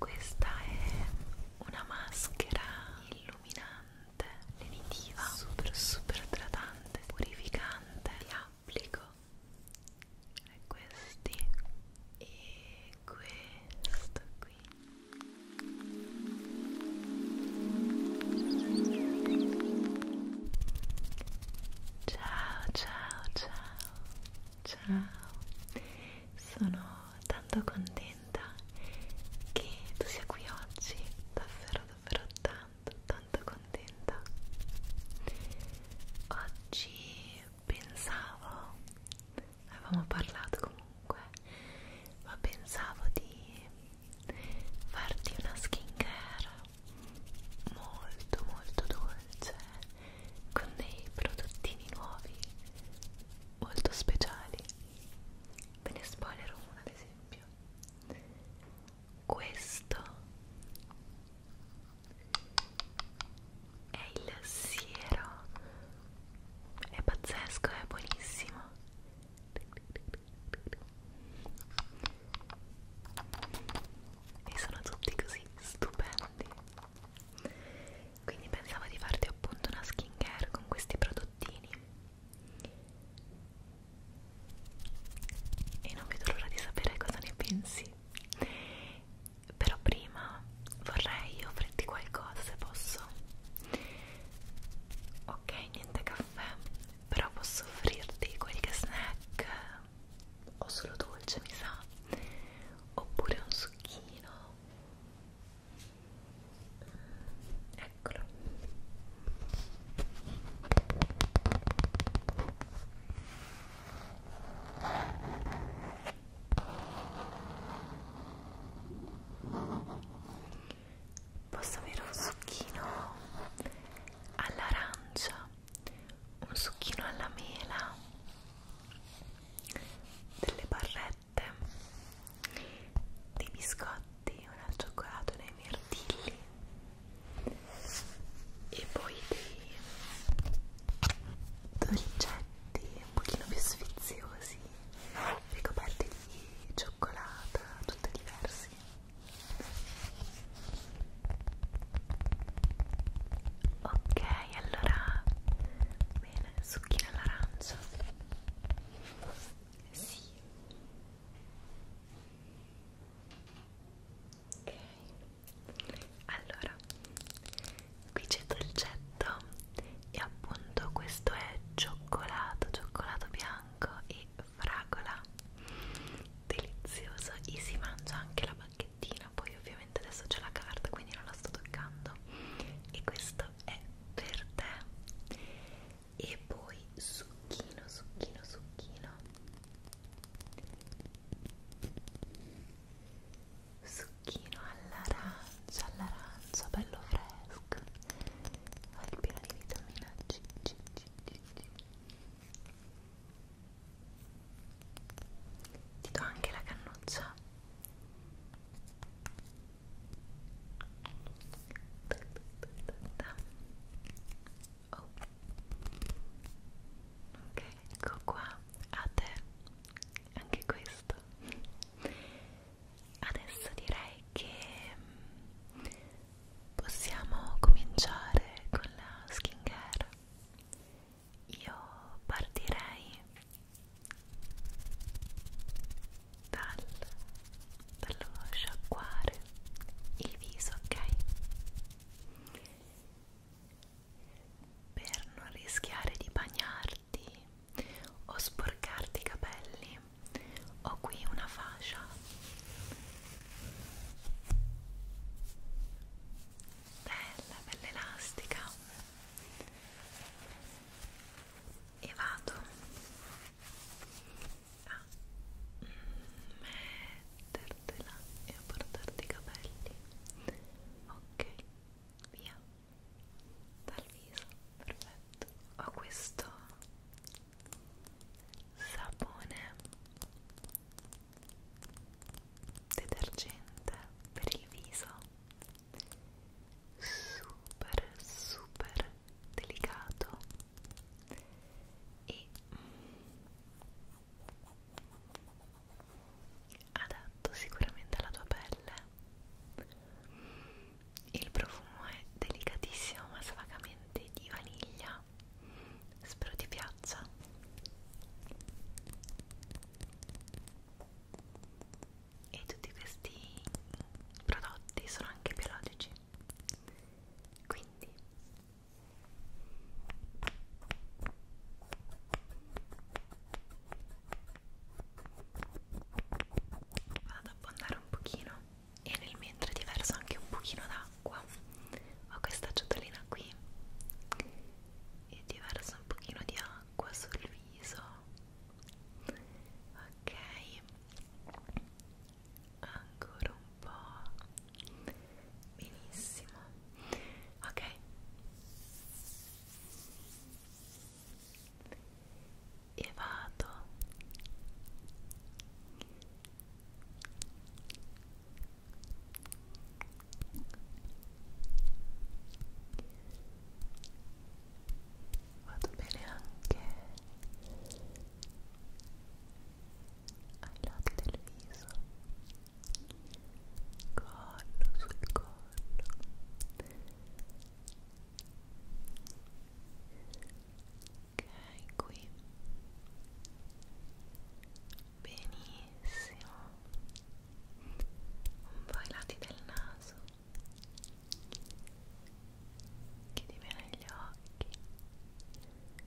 Questa è una maschera illuminante, lenitiva, super super idratante, purificante. Li applico e questi e questo qui. Ciao, ciao, ciao, ciao. Sono tanto contenta che tu sia qui oggi, davvero, davvero tanto, tanto contenta. Oggi pensavo, avevamo parlato comunque, ma pensavo di farti una skincare molto molto dolce con dei prodottini nuovi molto speciali ve ne spoilerò uno ad esempio questo è il siero è pazzesco, è buonissimo e sono tutti così stupendi quindi pensavo di farti appunto una skincare con questi prodottini e non vedo l'ora di sapere cosa ne pensi però prima vorrei offrirti qualcosa se posso ok niente caffè però posso offrirti qualche snack o solo dolce mi sa oppure un succhino eccolo posso avere un succhino all'arancia, un succhino alla mela, delle barrette, dei biscotti, un al cioccolato, dei mirtilli e poi dei dolcetti un pochino più sfiziosi ricoperti di cioccolata, tutte diversi ok allora bene zucchine all'arancia sì ok allora qui c'è dolcetto e appunto questo è cioccolato cioccolato bianco bianco e fragola delizioso e si mangia anche la bacchettina poi ovviamente adesso c'è la carta quindi non la sto toccando e questo è per te e poi succhino succhino succhino succhino all'arancia all'arancia bello fresco mask è piena di vitamina C, C, C, C, C. ti do anche la cannuccia oh. ok ecco qua a te anche questo adesso direi che mm, possiamo cominciare con la skincare. Io partirei dal, dallo sciacquare il viso, ok? Per non rischiare di bagnarti o sporcarti i capelli ho qui una fascia bella, bella elastica e vado a mettertela e a portarti i capelli ok, via dal viso, perfetto. Ho questo sapone detergente per il viso, super super delicato e adatto sicuramente alla tua pelle il profumo è delicatissimo ma svagamente di vaniglia spero ti piaccia e tutti questi prodotti sono anche biologici quindi vado ad abbondare un pochino e nel mentre ti verso anche un pochino d'acqua ho questa ciotolina qui e ti verso un pochino di acqua sul viso ok ancora un po' benissimo ok e vado vado bene anche ai lati del viso collo sul collo ok qui benissimo un po' ai lati del naso chiudi bene gli occhi ok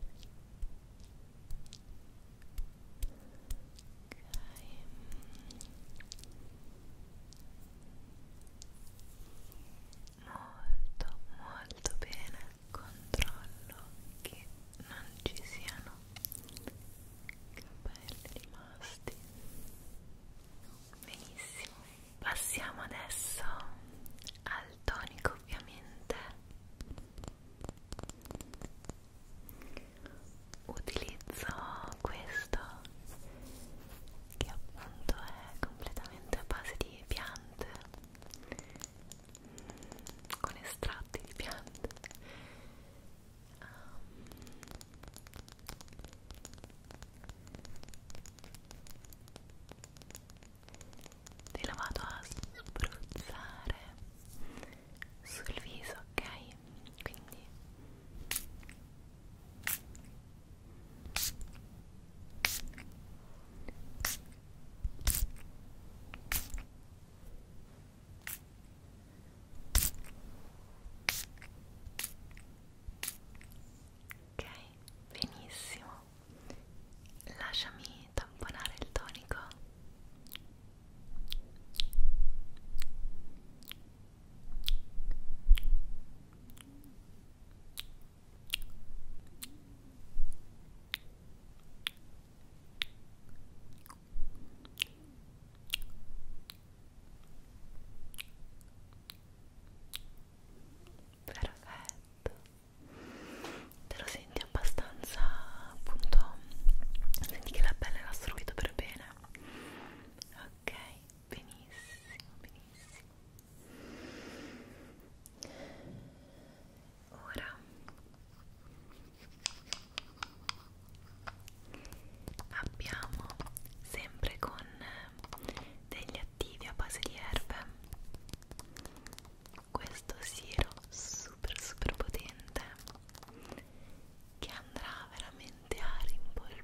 molto molto bene controllo che non ci siano capelli rimasti benissimo passiamo adesso al tonico ovviamente utilizzo questo che appunto è completamente a base di piante mm, con estratti di piante um, te la vado a spruzzare sul viso ok quindi Ok, benissimo. Lasciami tamponare il tonico. Perfetto, te lo senti abbastanza appunto, senti che la pelle l'ha assorbito per bene, ok benissimo, benissimo. Ora abbiamo sempre con degli attivi a base di erbe questo siero super super potente che andrà veramente a rimpolverare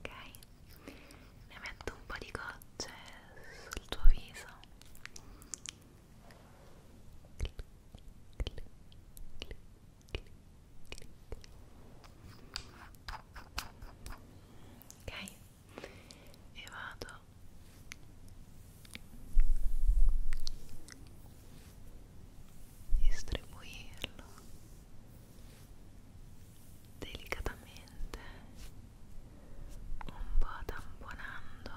ok ne metto un po' di gocce sul tuo viso ok e vado distribuirlo delicatamente un po' tamponando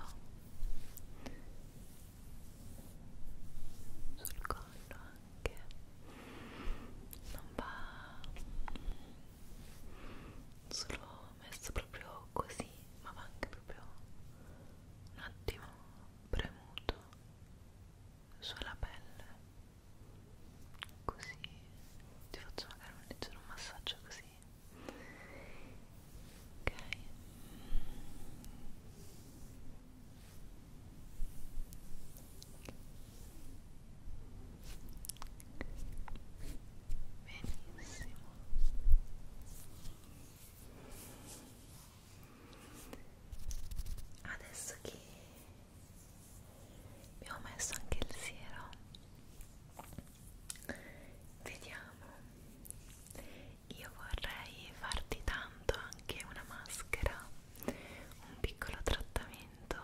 sul collo anche non va solo messo proprio così ma va anche proprio un attimo premuto sulla pelle così ti faccio magari un leggero massaggio così ok benissimo adesso che mi ho messo anche il siero vediamo io vorrei farti tanto anche una maschera un piccolo trattamento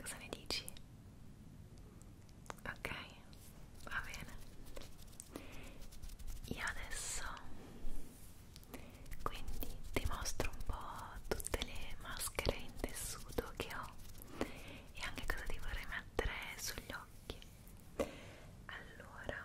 cosa ne dici? ok va bene io adesso quindi ti mostro un po' tutte le maschere in tessuto che ho e anche cosa ti vorrei mettere sugli occhi allora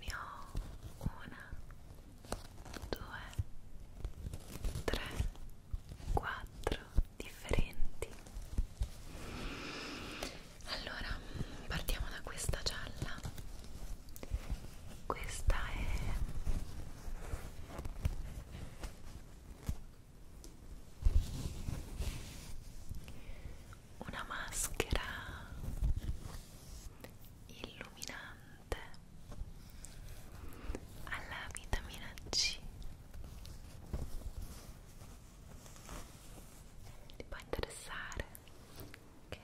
ne ho una, due, tre, quattro differenti. Allora, partiamo da questa gialla. Questa è una maschera illuminante alla vitamina C ti può interessare ok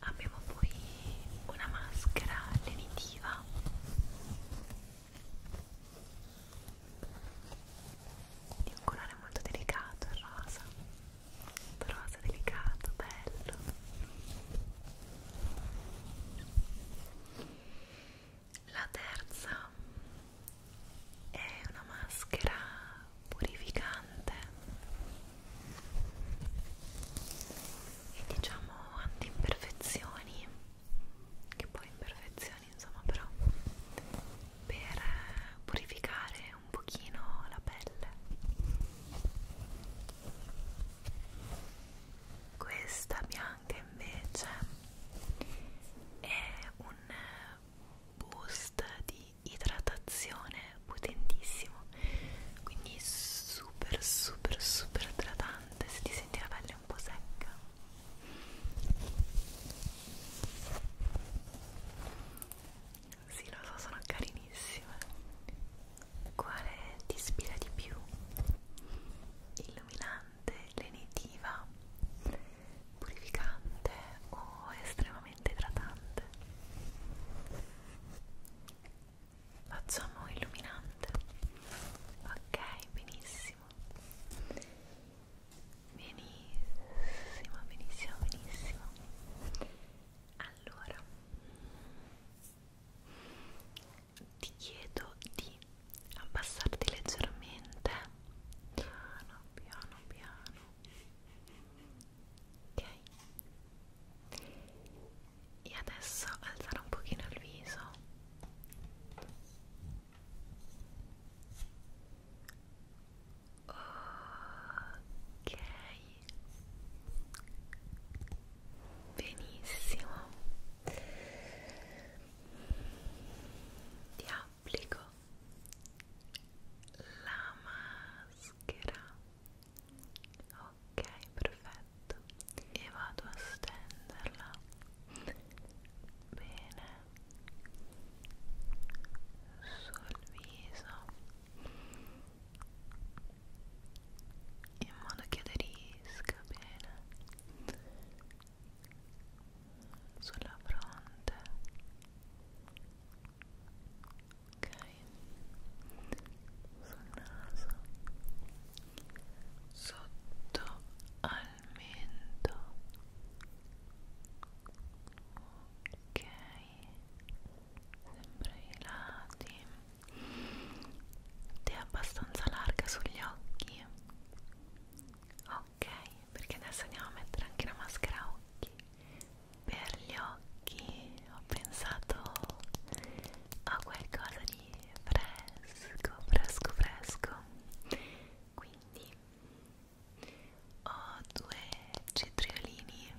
abbiamo poi una maschera lenitiva di un colore molto delicato, il rosa rosa delicato, bello la terza è una maschera purificante e diciamo anti imperfezioni che poi imperfezioni meditazioni insomma però per purificare un pochino la pelle questa bianca invece è un boost di idratazione potentissimo quindi super super super idratante se ti senti la pelle un po' secca sì, lo so, sono carinissime. Quale ti ispira di più? Illuminante, lenitiva, purificante o estremamente idratante? Facciamo illuminante. Ok, benissimo. Benissimo, benissimo, benissimo. Allora, ti chiedo di abbassarti leggermente, piano, piano, piano. Ok. E adesso alzare un pochino il viso. Ok, benissimo. Ti applico la maschera. Ok, perfetto. E vado a stenderla. Bene sul viso in modo che aderisca bene sulla fronte ok sul naso sotto al mento ok sempre i lati te è abbastanza larga sugli occhi ok perché adesso andiamo a mettere anche la maschera a occhi per gli occhi ho pensato a qualcosa di fresco fresco fresco quindi ho due cetriolini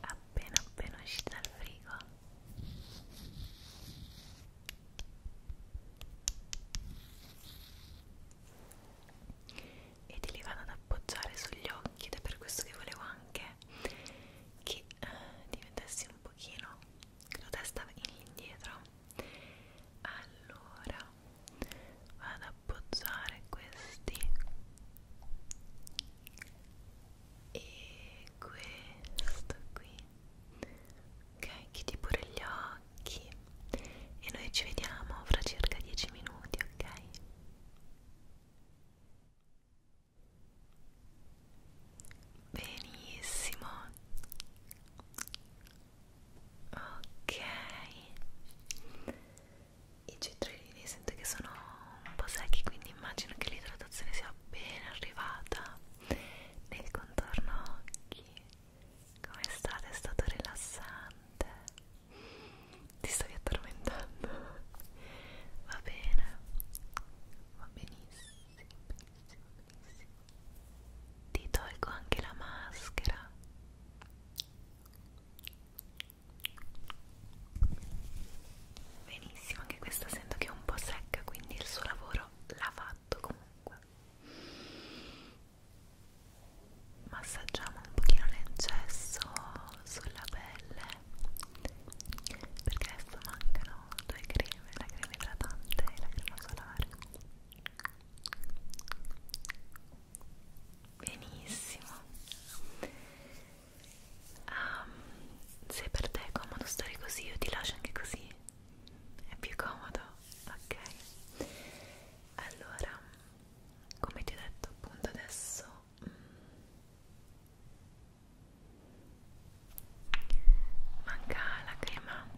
appena appena usciti dal frigo e te li vado ad appoggiare sugli occhi ed è per questo che volevo anche che eh, diventassi un pochino con la testa indietro allora vado ad appoggiare questi e questo qui ok chiudi pure gli occhi e noi ci vediamo fra circa 10 minuti ok Benissimo. Ok. I cetriolini sento che sono un po' secchi, quindi immagino che l'idratazione sia ben arrivata nel contorno occhi. Come state? È stato rilassante ti stavi addormentando va bene va benissimo benissimo benissimo ti tolgo anche la maschera benissimo anche questa sento che è un po' secca quindi il suo lavoro l'ha fatto comunque massaggiamo un pochino l'eccesso sulla pelle perché adesso mancano due creme, la crema idratante e la crema solare benissimo um, se per te è comodo stare così io ti lascio anche così è più comodo ok allora come ti ho detto appunto adesso manca la crema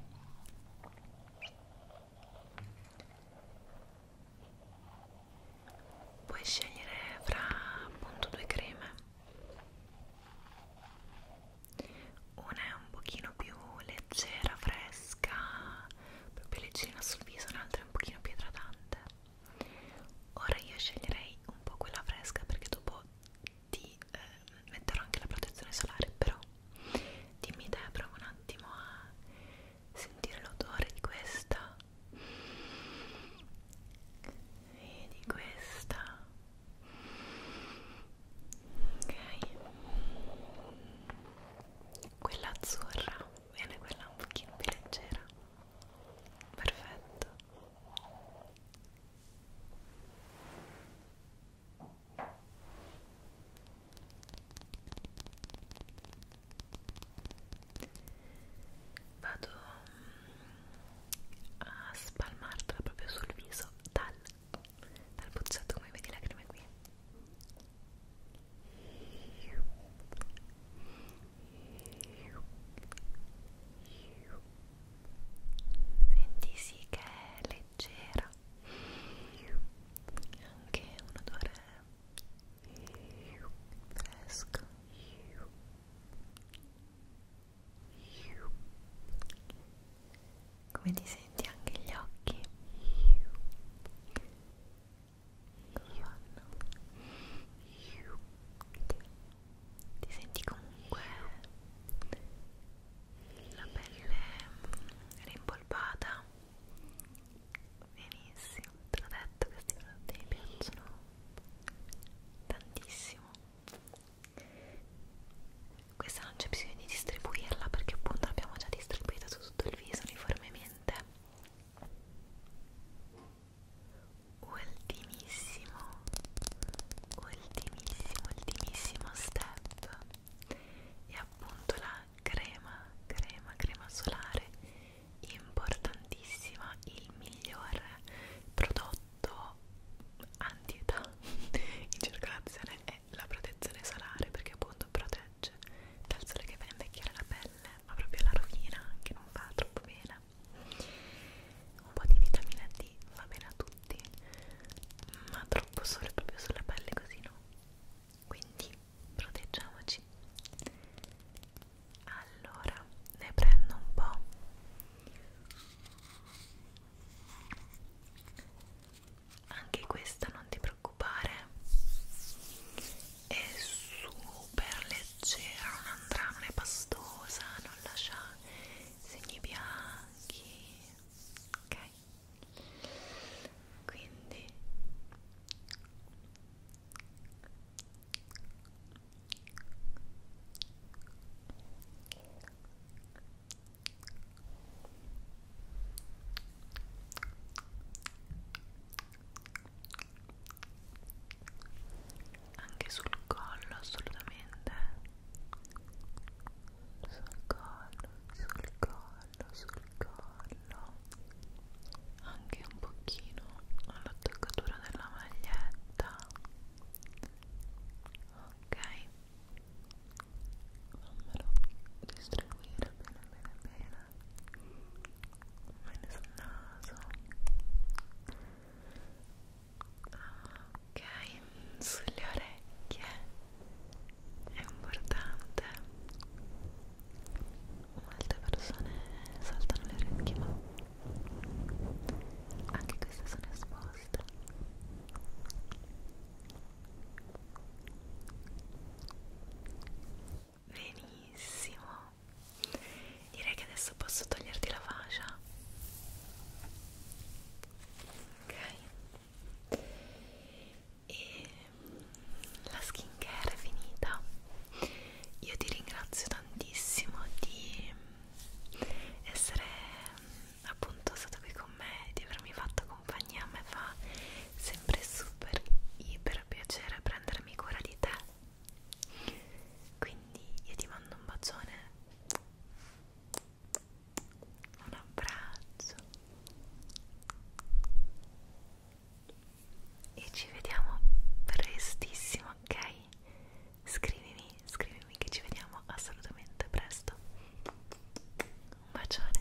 puoi scegliere fra appunto due creme una è un pochino più leggera, fresca proprio leggera sul viso, un'altra è un pochino più idratante ora io sceglierei un po' quella fresca perché dopo ti eh, metterò anche la protezione solare però dimmi te prova un attimo a sentire l'odore di questa e di questa ok quella azzurra bene quella un pochino più leggera perfetto vado mm, a spalmartela proprio sul viso dal, dal puzzotto come vedi la crema qui Senti sì che è leggera anche un odore fresco come ti senti anche gli occhi io no. ti senti comunque la pelle rimpolpata benissimo te l'ho detto questi prodotti mi piacciono tantissimo questa non c'è bisogno di distribuirla perché appunto l'abbiamo già distribuita su tutto il viso uniformemente ultimissimo ultimissimo ultimissimo step è appunto la crema crema crema solare importantissima il miglior prodotto antietà in circolazione è la protezione solare perché appunto protegge dal sole che fa invecchiare la pelle pelle, ma proprio alla rovina, che non va troppo bene. Un po' di vitamina D va bene a tutti, ma troppo solo proprio sulla pelle così no. Quindi proteggiamoci. Allora, ne prendo un po'. Anche questa non ti preoccupare è super leggera, non andrà, non è pastosa, non lascia segni bianchi, ok? Quindi anche sul collo assolutamente sul collo sul collo sul collo anche un pochino all'attaccatura della maglietta ok fammelo distribuire bene bene bene bene sul naso ok sulle orecchie è importante molte persone saltano le orecchie ma anche queste sono esposte Benissimo. Direi che adesso posso toglierti la fascia. Ok. E la skincare è finita. Io ti ringrazio tantissimo di essere appunto stata qui con me, di avermi fatto compagnia. A me fa sempre super iper piacere prendermi cura di te quindi io ti mando un bacione un abbraccio e ci vediamo prestissimo ok? scrivimi scrivimi che ci vediamo assolutamente presto un bacione